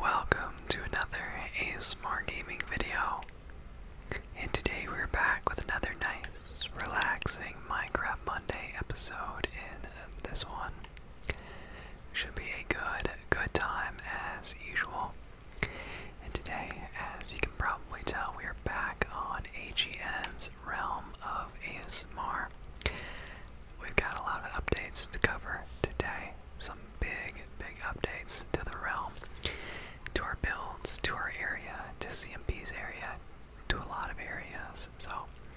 Welcome to another ASMR gaming video. And today we're back with another nice, relaxing Minecraft Monday episode. In this one, should be a good, good time as usual. And today, as you can probably tell, we are back on AGN's realm of ASMR. We've got a lot of updates to cover today. Some big, big updates to the realm, to our builds, to our area, to CMP's area, to a lot of areas. So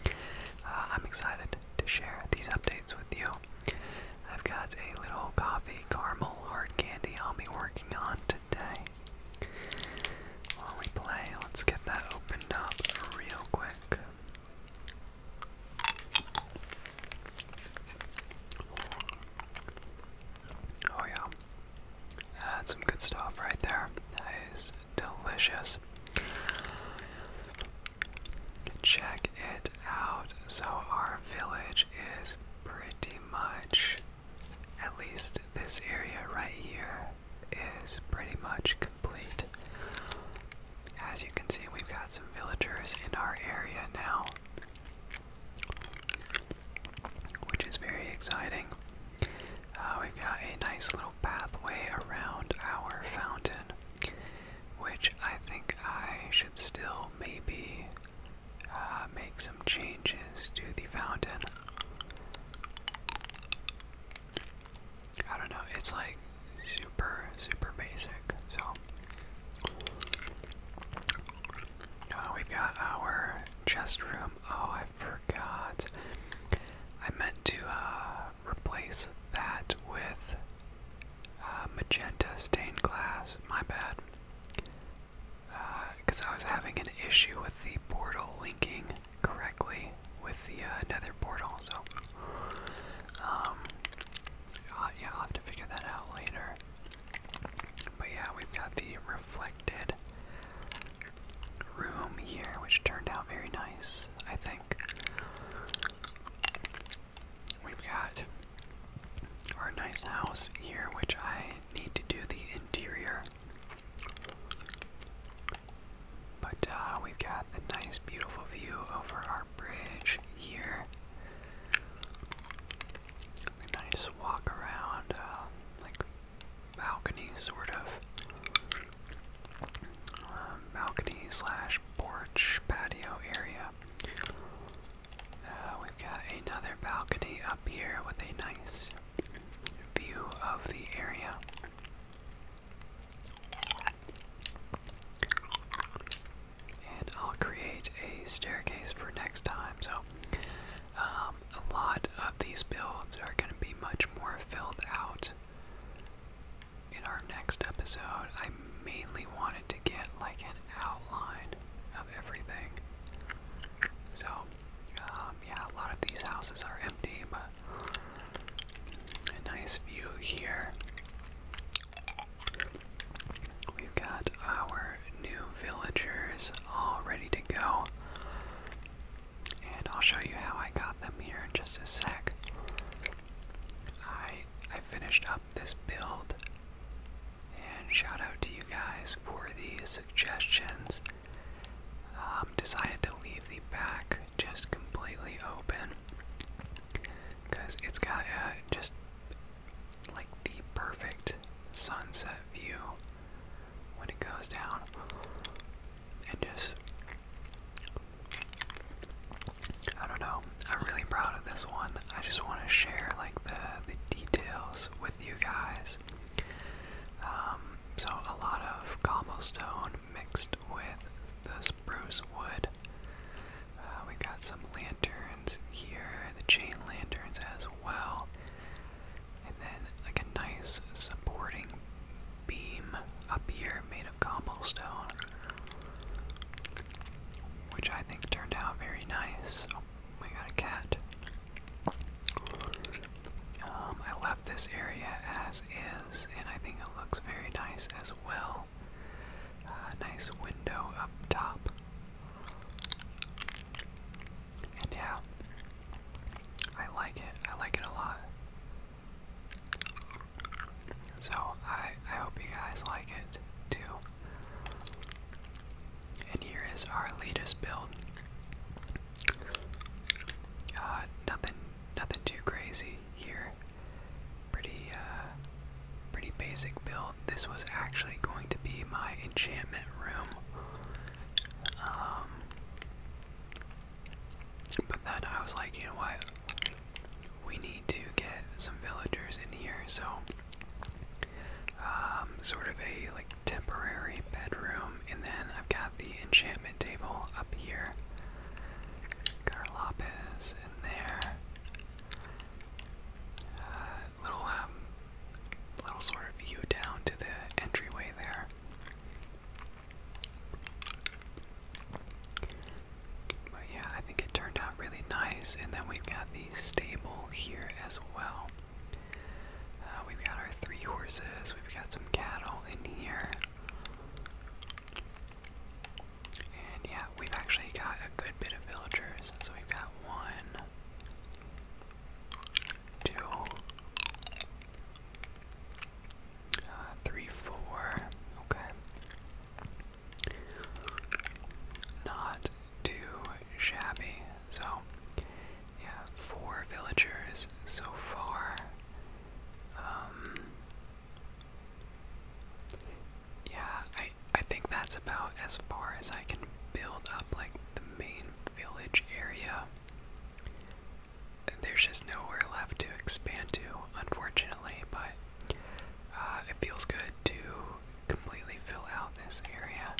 uh, I'm excited to share these updates with you. I've got a little coffee caramel hard candy I'll be working on today. While we play, let's get that opened up real quick. Oh, yeah. That's some good stuff right there. That is delicious. Check it out. So, our village is pretty much, at least this area right here, is pretty much complete. As you can see, we've got some villagers in our area now, which is very exciting. Uh, we've got a nice little pathway around our fountain, which I think I should still maybe uh, make some changes to the fountain. I don't know, it's like super, super basic. So, uh, we've got our chest room. Oh, I forgot. I meant to uh, replace that with uh, magenta stained glass. My bad. Because I was having an issue with the portal linking correctly with the uh, nether portal, so um, yeah, I'll have to figure that out later. But yeah, we've got the reflected room here, which turned out very nice, I think. We've got our nice house here, which I need to do the interior. But uh, we've got the nice, beautiful view over our bridge here. nice walk around, uh, like balcony sort of. Um, balcony slash porch patio area. Uh, we've got another balcony up here with a nice view of the area. And I'll create a staircase for next time. So, um, a lot of these builds are going to be much more filled out in our next episode. I mainly wanted to get like an outline of everything. So, um, yeah, a lot of these houses are empty, but a nice view here. We've got our new villagers all ready to go. And I'll show you how I got them here in just a sec. I I finished up this build and shout out to you guys for the suggestions. Um, decided to leave the back just completely open because it's got uh, just like the perfect sunset view when it goes down. And just, I don't know. I'm really proud of this one. I just want to share like the, the details with you guys. Um, so a lot of cobblestone mixed with the spruce wood. Uh, we've got some lanterns here, the chain lanterns as well. And then, like a nice supporting beam up here made of cobblestone, which I think turned out very nice. Oh, we got a cat. Um, I this area as is, and I think it looks very nice as well. nice window up top. And yeah, I like it. I like it a lot. So I, I hope you guys like it too. And here is our latest build. Uh, nothing, nothing too crazy here. Pretty, uh, pretty basic build. This was actually going to be my enchantment room. Um, but then I was like, you know what? We need to get some villagers in here, so um, sort of a like temporary bedroom, and then I've got the enchantment table up here. Carlopez in there. Uh, little um, little sort of view down to the entryway there. But yeah, I think it turned out really nice. And then we've got the stable here as well. Uh, we've got our three horses. We've got some cattle in here. And yeah, we've actually got a good bit of villagers. So we've got one, uh, Okay. Not too shabby. So, yeah, four villagers so far. Um, yeah, I I think that's about as far as I can build up like the main village area. There's just nowhere left to expand to, unfortunately, but uh, it feels good to completely fill out this area.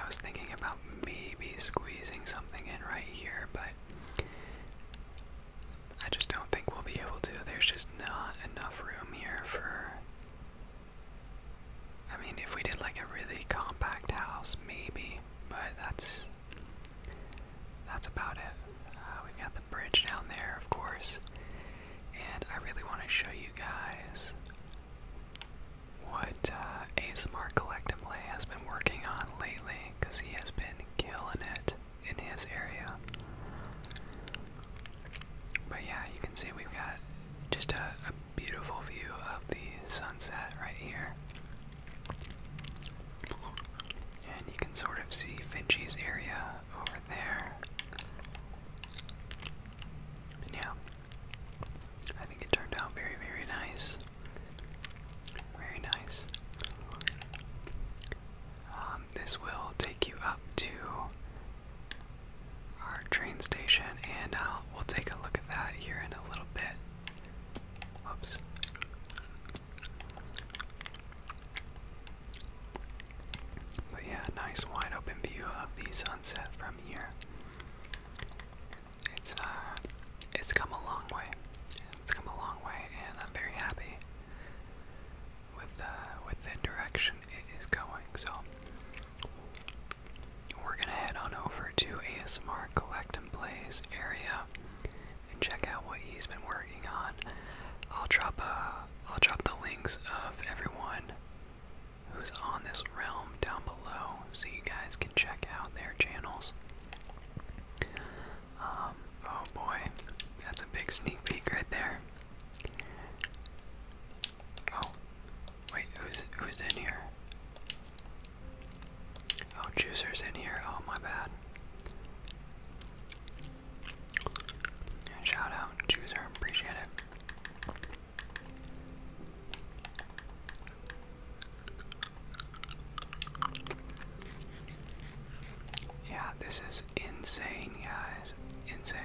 I was thinking about maybe squeezing something in right here, but I just don't think we'll be able to. There's just not enough room here for. I mean, if we did like a really compact house, maybe, but that's. That's about it. Uh, we've got the bridge down there, of course, and I really want to show you guys what uh, ASMR collectively has been working on lately, because he has been killing it in his area. But yeah, you can see we've got just a, beautiful view of the sunset right here. And you can sort of see Finchie's area over there. yeah, I think it turned out very, very nice. Very nice. Um, this will take you up to our train station, and uh, we'll take a look at that here in a little bit. Whoops. But yeah, nice wide open view of the sunset from from It's uh, it's come a long way. It's come a long way, and I'm very happy with uh, with the direction it is going. So we're gonna head on over to ASMR Collect and Plays area and check out what he's been working on. I'll drop uh, I'll drop the links of everyone who's on this realm down below so you guys can check out their channels. Um, oh boy, that's a big sneak peek right there. Oh, wait, who's, who's in here? Oh, Juicer's in here. Oh, my bad. Shout out, Juicer. Appreciate it. Yeah, this is insane, guys. Insane.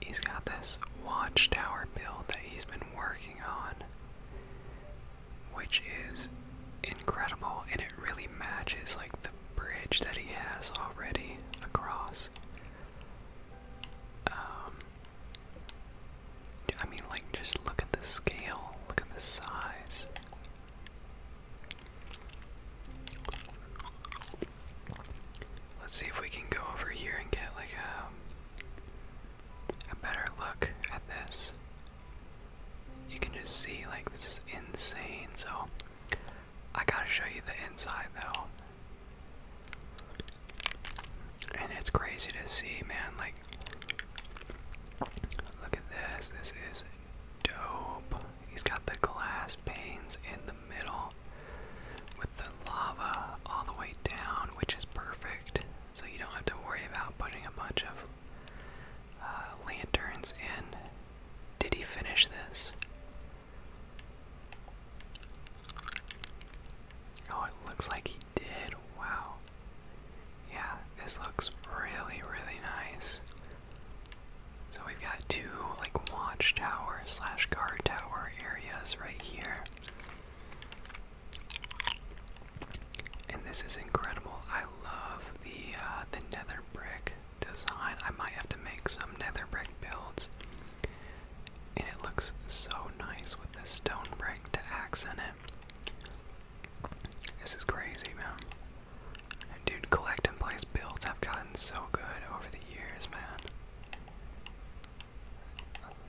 He's got this watchtower build that he's been working on, which is incredible, and it really matches like the bridge that he has already across. Um, I mean, like, just look at the scale, look at the size. Let's see if we can go over here and get like a a better look at this. You can just see like this is insane. So I gotta show you the inside though. And it's crazy to see, man. Like, look at this. This is dope. He's got the glass panes in the middle with the lava all the way down, which is perfect. So you don't have to worry about putting a bunch of uh, lanterns in. Did he finish this? Oh, it looks like he did. Wow. Yeah, this looks really, really nice. So we've got two like watchtower slash guard tower areas right here. And this is incredible. I love the uh, the nether brick design. I might have to make some nether brick builds. And it looks so nice with the stone brick to accent it. This is crazy, man. Dude, collect and place builds have gotten so good over the years, man.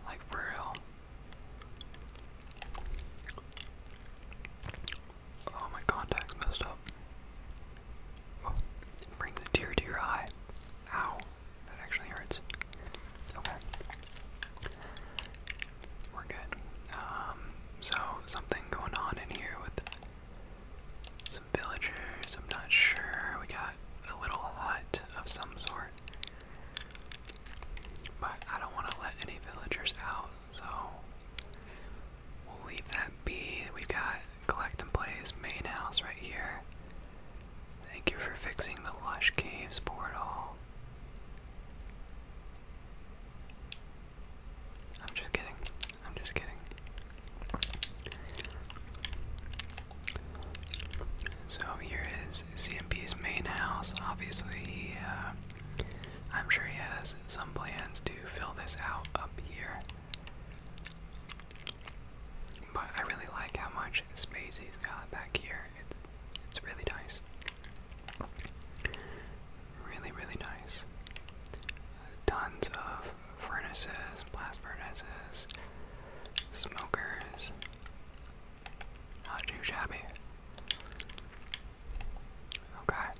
Like, for real. Oh, my contact's messed up. Oh, it brings tear to your eye. Ow, that actually hurts. Okay. We're good. Um, so, something going on in here with some villagers. I'm not sure. We got a little hut of some sort. But I don't want to let any villagers out, so We'll leave that be. We've got collect and play's main house right here. Thank you for fixing the Lush Caves portal. I'm just kidding. I'm just kidding. So here is CMP's main house. Obviously, he, uh, I'm sure he has some plans to fill this out up here. But I really like how much space he's got back here. It's, really nice. Really, really nice. Tons of furnaces, blast furnaces, smokers. Not too shabby. Okay.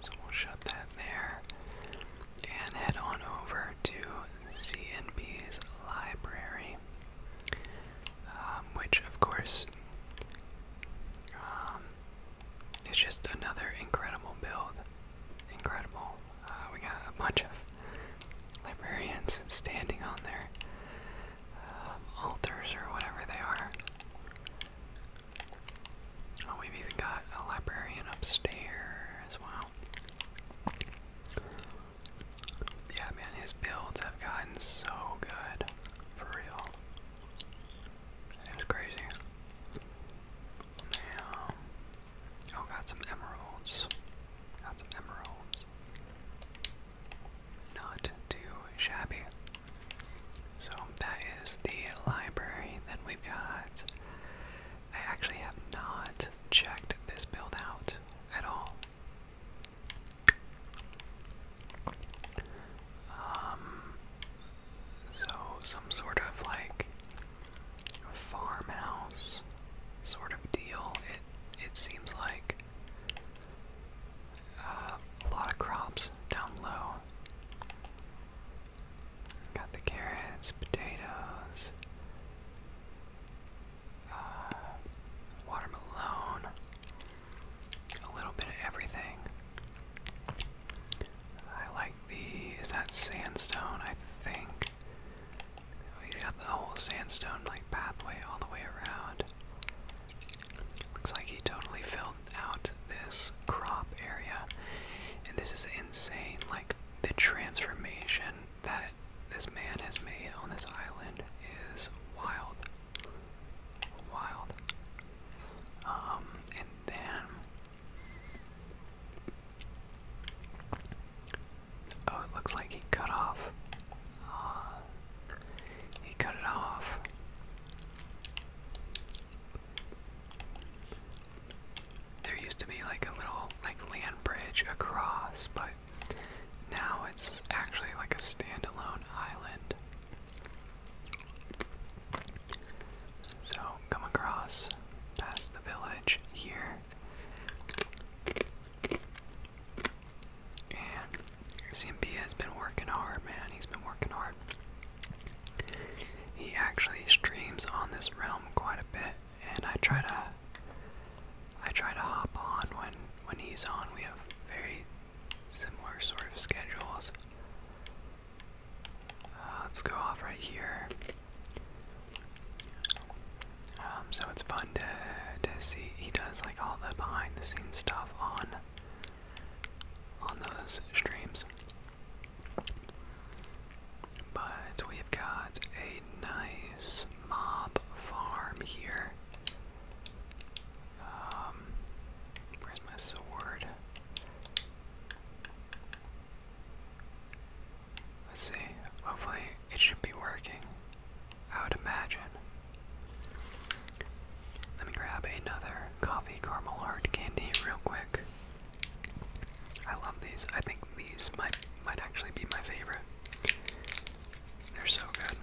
So we'll shut that there and head on over to CNP's library, um, which, of course, um, is just another incredible build. Incredible. Uh, we got a bunch of librarians standing on there. Um, altars or whatever they are. Oh, we've even got a librarian upstairs. Wow. Yeah, man, his builds have gotten so good. For real. It crazy. Now, oh, got some emeralds. Got some emeralds not too shabby. So that is the library. that we've got. I actually have not checked this build out at all. Um, so some sort of like farmhouse sort of deal. It it seems like uh, a lot of crops down low. Got the carrots, potatoes, uh, watermelon, a little bit of everything. I like the. Is that sandstone? I think. He's got the whole sandstone like pathway all the way around. Looks like he totally filled out this crop area. And this is insane, like the transformation that this man has made on this island is wild. Wild. Um, and then Oh, it looks like he cut off. Uh, he cut it off. There used to be like a little like land bridge across, but now it's actually like a standalone island. So come across past the village here. And CMB has been working hard, man. He's been working hard. He actually streams on this realm quite a bit, and I try to I try to hop on when when he's on. We have very similar sort of schedules. Uh, let's go off right here. Um, so it's fun to to see he does like all the behind the scenes stuff on on those streams. But we've got a nice mob farm here. Um, where's my sword? Let's see. Hopefully, it should be working. I would imagine. Let me grab another coffee caramel hard candy real quick. I love these. I think these might might actually be my favorite. They're so good.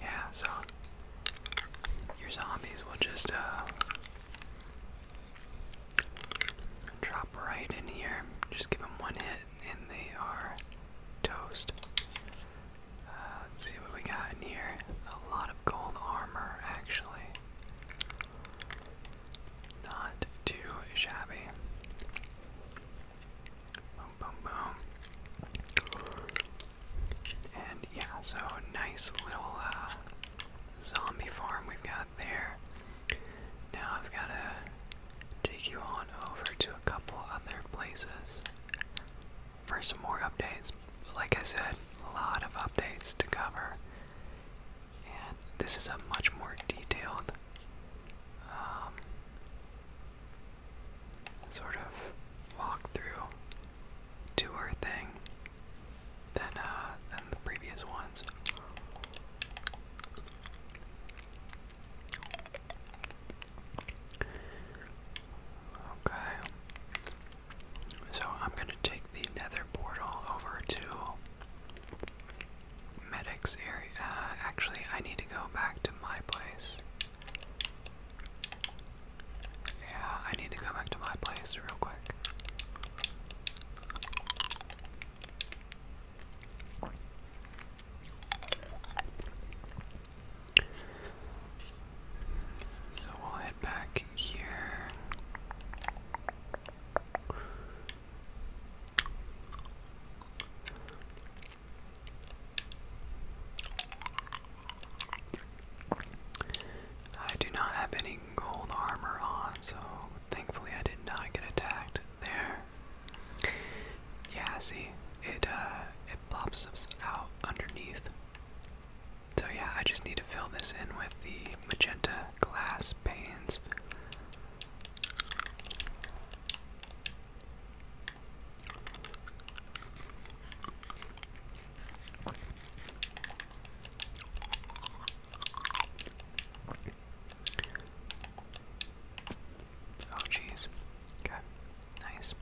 Yeah, so your zombies will just uh, drop right in here. Just give them one hit and they are toast. Uh, let's see what we got in here. A lot of gold armor, actually. Not too shabby. Boom, boom, boom. And yeah, so nice little uh, zombie farm we've got there. Now I've got to take you on over to a couple other places for some more updates. Like I said, a lot of updates to cover. And this is a much more detailed um, sort of walkthrough tour thing than, uh, than the previous ones. Okay. So I'm going to take the nether portal over to Medic's area. Uh, actually, I need to go back to my place. Yeah, I need to go back to my place real quick. So we'll head back here. I do not have any gold armor on, so thankfully I did not get attacked there. Yeah, see, it uh, it pops us out underneath. So yeah, I just need to fill this in with the magenta glass panes. Oh jeez. Okay. Nice.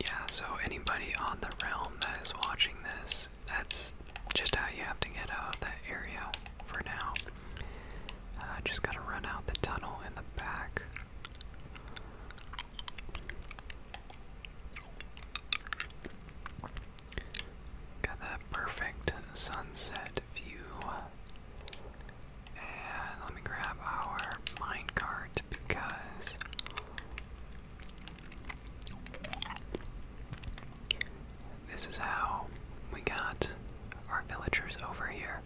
Yeah, so anybody on the realm that is watching this, that's just how you have to get out of that area for now. Uh, just gotta run out the tunnel in the back. Got that perfect sunset view. And let me grab our minecart because this is how we got our villagers over here.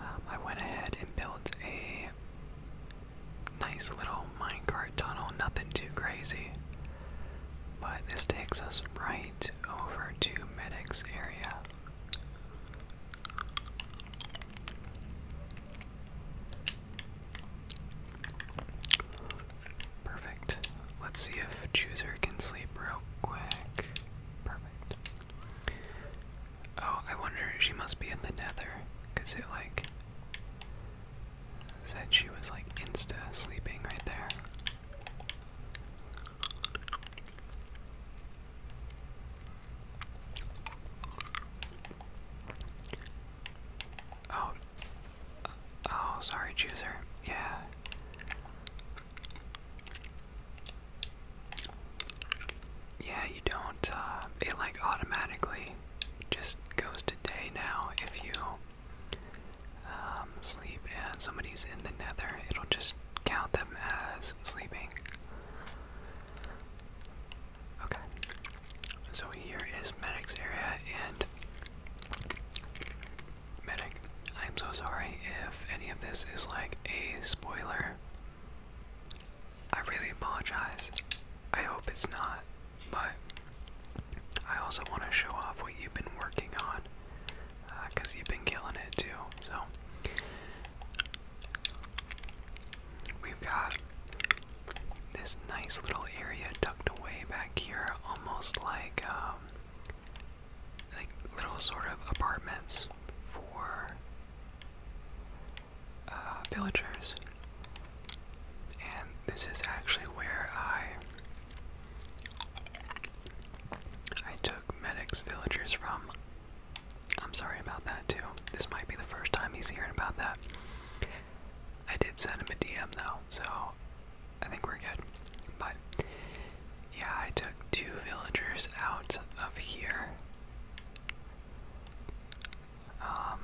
Um, I went ahead and built a nice little minecart tunnel, nothing too crazy. But this takes us right over to medics area. Perfect. Let's see if chooser can sleep real quick. Perfect. Oh, I wonder she must be in the nether, cause it like said she was like insta sleeping right there. Oh. Oh, sorry, chooser. Yeah. Yeah, you don't, uh, it like automatically just goes to day now if you um, sleep and somebody's in the nether, it'll just count them as sleeping. Okay, so here is medic's area, and medic, I'm so sorry if any of this is like a spoiler. I really apologize. I hope it's not, but I also want to show off what you've been working on because uh, you've been killing it too. So, we've got this nice little area tucked away back here, almost like um, like little sort of apartments for uh, villagers. And this is actually where I I took medics villagers from. I'm sorry about that too. This might be the first time he's hearing about that. I did send him a DM though, so I think we're good. But yeah, I took two villagers out of here. Um,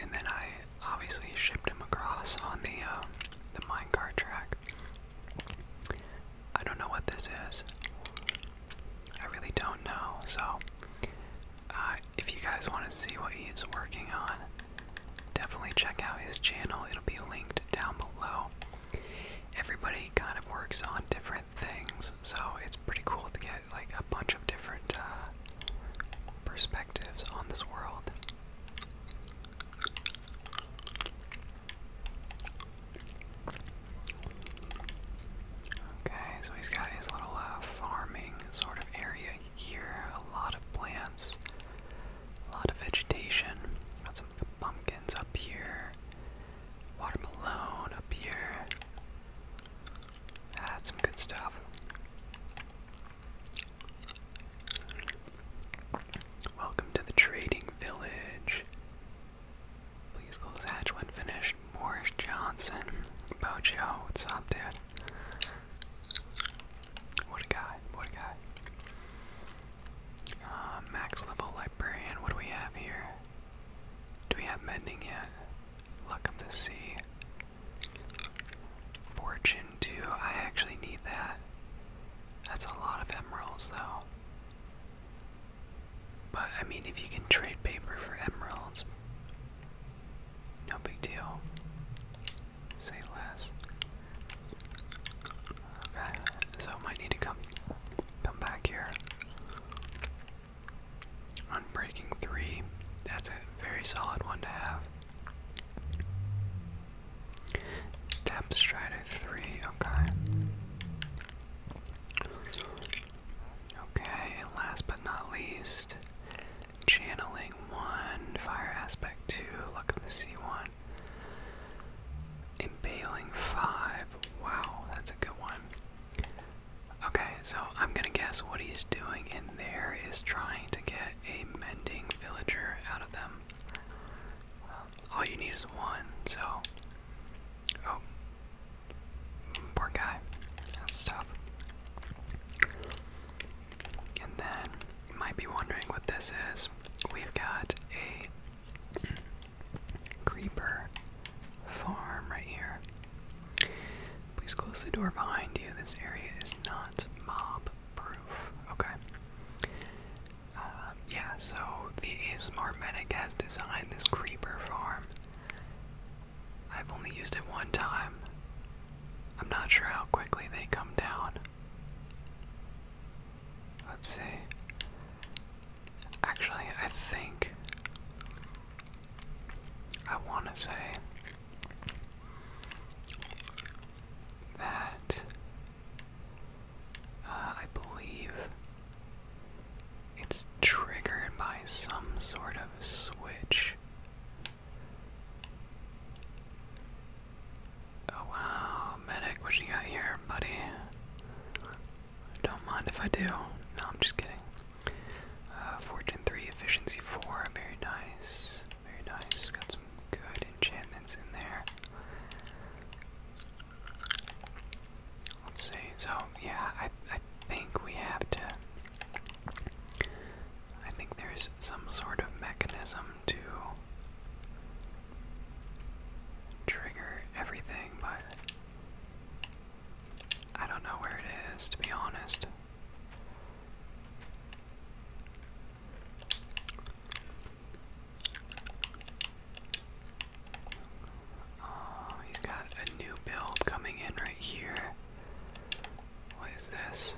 and then I obviously shipped him across on the uh, the minecart track. I don't know what this is. I really don't know. So, uh, if you guys want to see what he's working on, definitely check out his channel. It'll be linked down below. Everybody kind of works on different things, so it's pretty cool to get like a bunch of different uh, perspectives on this world. Okay, so he's got his little uh, farming sort of area here. A lot of plants, a lot of vegetation. Got some pumpkins up here, watermelon up here. That's some good stuff. Welcome to the trading village. Please close hatch when finished. Morris Johnson. Bojo, what's up, dude? What a guy, what a guy. Uh, max level librarian, what do we have here? Do we have mending yet? Luck of the Fortune 2, I actually need that. That's a lot of emeralds, though. But I mean, if you can trade paper for emeralds, no big deal. Say less. Okay, so might need to come come back here. On three, that's a very solid one to have. Tap stride three, okay. Okay, last but not least, channeling one, fire aspect two, luck of the sea one. Impaling five. Wow, that's a good one. Okay, so I'm gonna guess what he's doing in there is trying to to get a mending villager out of them. Um, all you need is one, so. Oh. Poor guy. That's And then, might be wondering what this is. We've got a creeper farm right here. Please close the door behind you. This area is not mob proof. Okay. Um, yeah, so the ASMR Medic has designed this creeper farm. I've only used it one time. I'm not sure how quickly they come down. Let's see. Actually, I think I want to say that uh, I believe it's triggered by some sort of switch. Oh wow, medic, what you got here, buddy? Don't mind if I do. No, I'm just kidding. Uh, fortune 3, efficiency 4, very nice. Very nice. Got some good enchantments in there. Let's see. yeah, I I think we have to. I think there's some sort of mechanism to trigger everything, but I don't know where it is to be honest. Oh, he's got a new build coming in right here. What is this?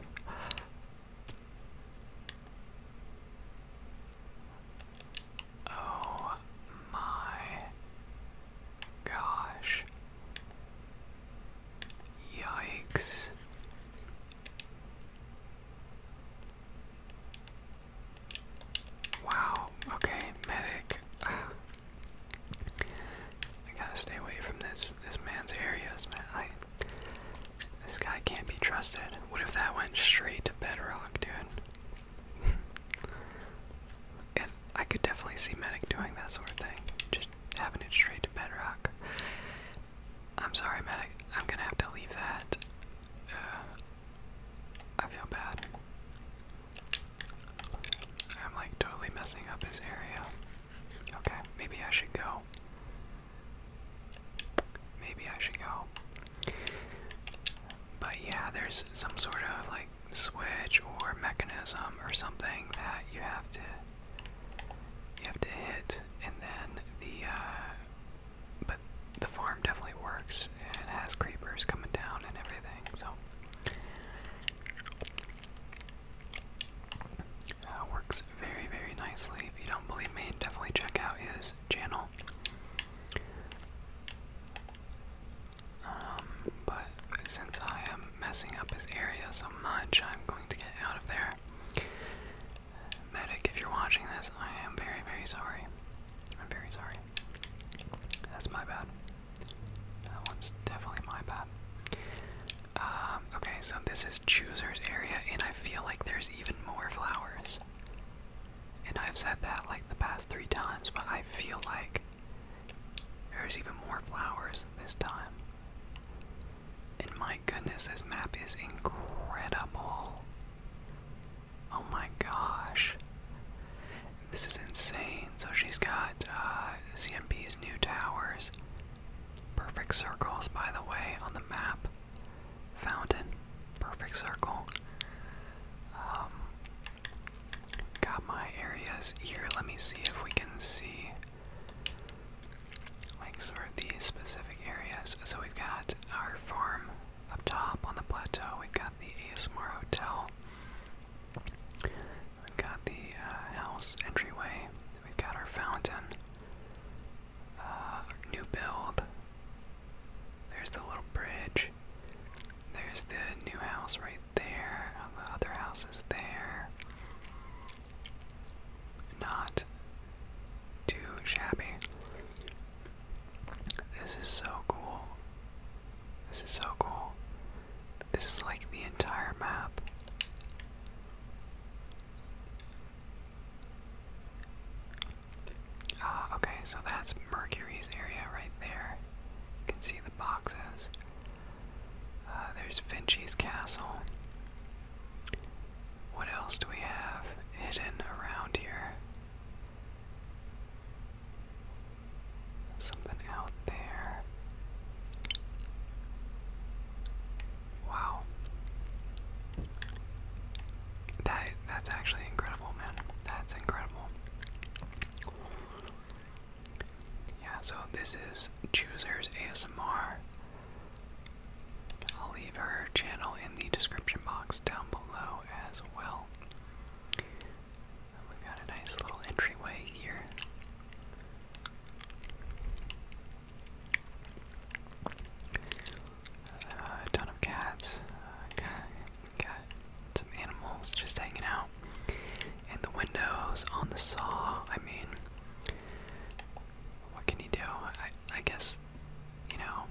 Oh my gosh. Yikes. Wow, okay, medic. Ah. I gotta stay away from this this man's area. This, man, this guy can't be trusted. What if that went straight to bedrock, dude? and I could definitely see medic doing that sort of thing. Just having it straight to bedrock. I'm sorry, medic. I'm gonna have to leave that. Uh, I feel bad. I'm like totally messing up his area. Okay, maybe I should go. Maybe I should go. But yeah, there's some sort of like switch or mechanism or something that you have to you have to hit, and then the, uh, but the farm definitely works, and has creepers coming down and everything, so. Uh, works very, very nicely. If you don't believe me, definitely check out his channel. Um, but since I am messing up his area so much, I'm going to get out of there. Medic, if you're watching this, I am very, very sorry. I'm very sorry. That's my bad. That one's definitely my bad. Um, okay, so this is Chooser's area, and I feel like there's even more flowers. And I've said that like the past three times, but I feel like there's even more flowers this time. And my goodness, this map is incredible. Oh my gosh. This is insane. So she's got uh, CMP's new towers. Perfect circles, by the way, on the map. Fountain. Perfect circle. Um, got my areas here. Let me see if we can see like sort of these specific areas. So we've got our farm up top on the plateau. We've got the ASMR hotel. We've got the uh, house entryway. We've got our fountain. Uh, new build. There's the little bridge. There's the new house right there. Uh, the other house is there not too shabby. This is so cool. This is so cool. This is like the entire map. Ah, okay, so that's Mercury's area right there. You can see the boxes. Uh, there's Vinci's castle. What else do we have hidden around here? Something out there. Wow. That that's actually incredible, man. That's incredible. Yeah, so this is Choosers ASMR. I'll leave her channel in the description box down below as well. we got a nice little entryway here. Uh, a ton of cats. Uh, got, some animals just hanging out. And the windows on the saw, I mean, what can you do? I, I guess, you know,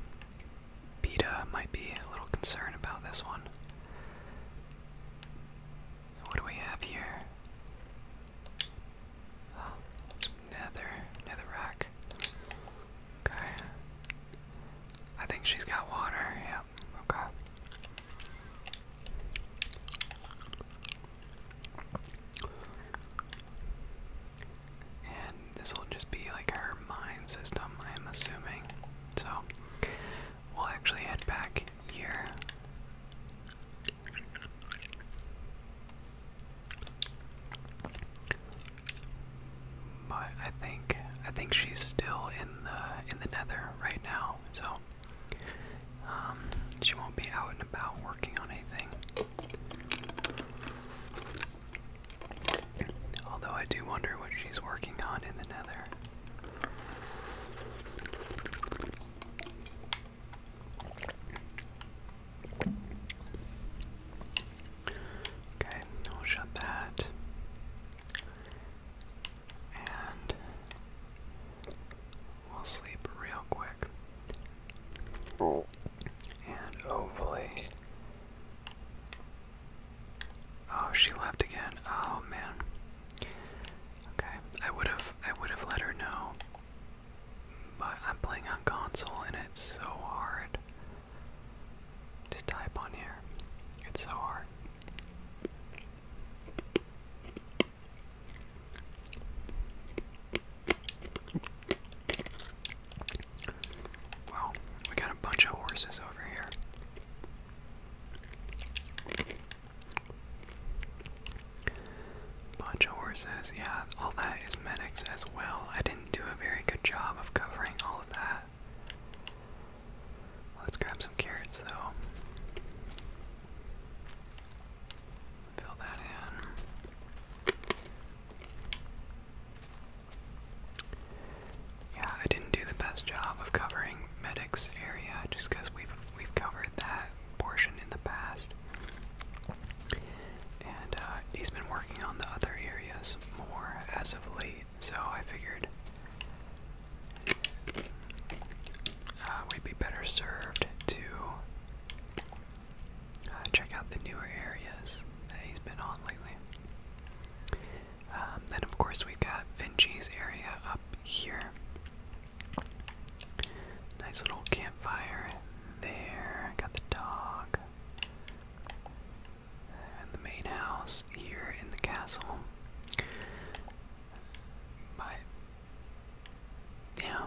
PETA might be a little concerned about this one. What do we have here? nether, nether rack. Okay. I think she's got water, yep, okay. And this will just be like her mine system, I am assuming. So we'll actually head back here. But I think I think she's still in the in the nether right now, so um, she won't be out and about working on anything. Although I do wonder what she's working on in the nether. Okay, I'll shut that and we'll sleep real quick. And hopefully. Oh, she left again. Oh man. Okay, I would have I would have let her know, but I'm playing on console and it's so hard to type on here. It's so hard. Well, we got a bunch of horses over here. Bunch of horses, yeah, all that is medics as well. I didn't do a very good job of covering all of that. Let's grab some carrots though. Fill that in. Yeah, I didn't do the best job of covering medics area just because we've we've covered that portion in the past. And uh, he's been working on the other areas more as of late, so I figured uh, we'd be better served to uh, check out the newer areas that he's been on lately. Um, then, of course, we've got Vinci's area up here. Nice little campfire there. I Got the dog. And the main house here in the castle. But yeah,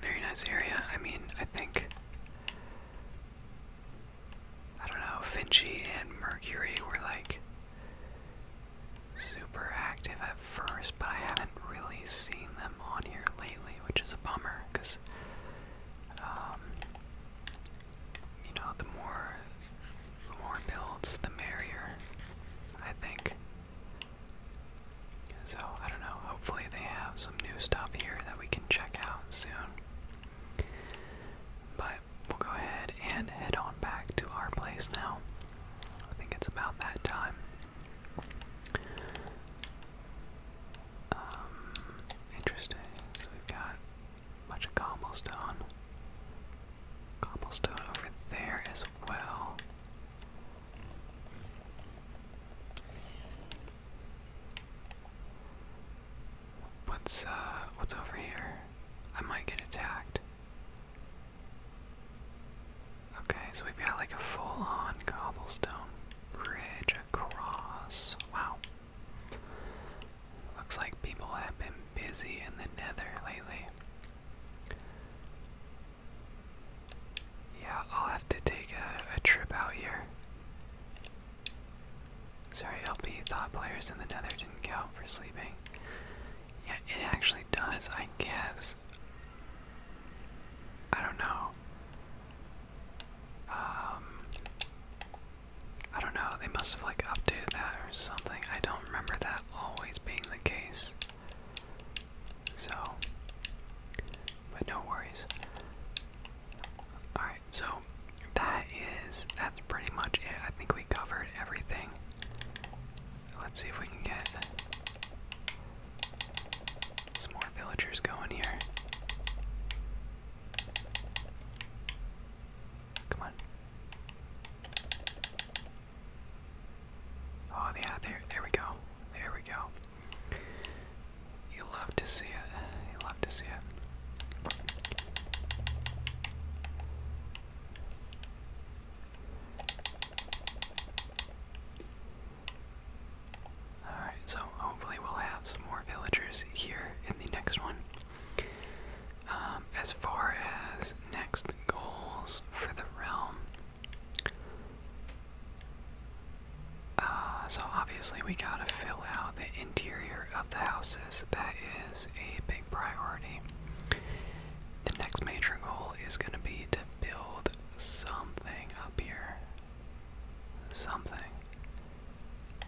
very nice area. I mean, I think I don't know, Finchy and Mercury were like super active at first, but I haven't really seen them on here lately, which is a bummer because um, you know the more the more builds, the merrier. I think so, I don't know, hopefully they have some new stuff here that we can check out soon. But we'll go ahead and head on back to our place now. I think it's about that time. Um, interesting. So we've got a bunch of cobblestone. Cobblestone over there as well. What's uh what's over here? I might get attacked. Okay, so we've got like a full-on cobblestone bridge across. Wow. Looks like people have been busy in the nether lately. Yeah, I'll have to take a, trip out here. Sorry, LP thought players in the nether didn't count for sleeping. Yeah, it actually does, I guess. I don't know. Um, I don't know. They must have like updated that or something. I don't remember that always being the case. So, but no worries. Alright, so that is, that's pretty much it. I think we covered everything. Let's see if we can get some more villagers going here. Come on. Oh yeah, there, there we go. There we go. You love to see it. You love to see it. Alright, so hopefully we'll have some more villagers here in the next one. Um, as far as next goals for the realm, uh, so obviously we gotta fill out the interior of the houses. That is a big priority. The next major goal is gonna be to build something up here. Something.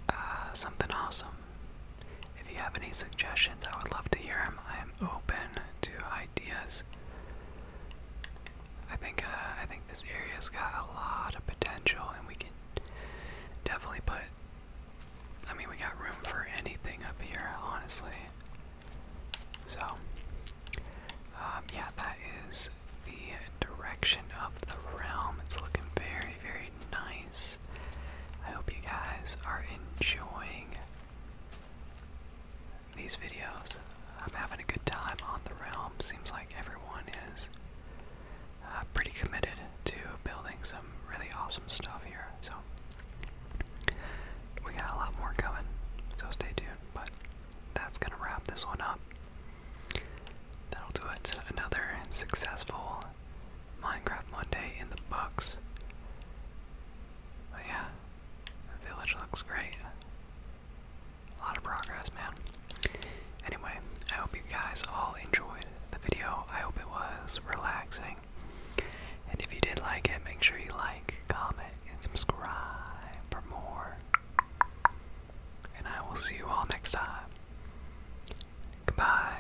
Uh, something awesome. If you have any suggestions, I would love to hear them. I am open to ideas. I think uh, I think this area's got a lot of potential, and we can definitely put. I mean, we got room for anything up here, honestly. So, um, yeah, that is the direction of the realm. It's looking very, very nice. I hope you guys are enjoying these videos. I'm having a good time on the realm. Seems like everyone is uh, pretty committed to building some really awesome stuff here. So we got a lot more coming. So stay tuned. But that's gonna wrap this one up. That'll do it. Another successful Minecraft Monday in the books. Oh, but yeah, the village looks great. A lot of progress, man. Anyway, I hope you guys all enjoyed the video. I hope it was relaxing. And if you did like it, make sure you like, comment, and subscribe for more. And I will see you all next time. Goodbye.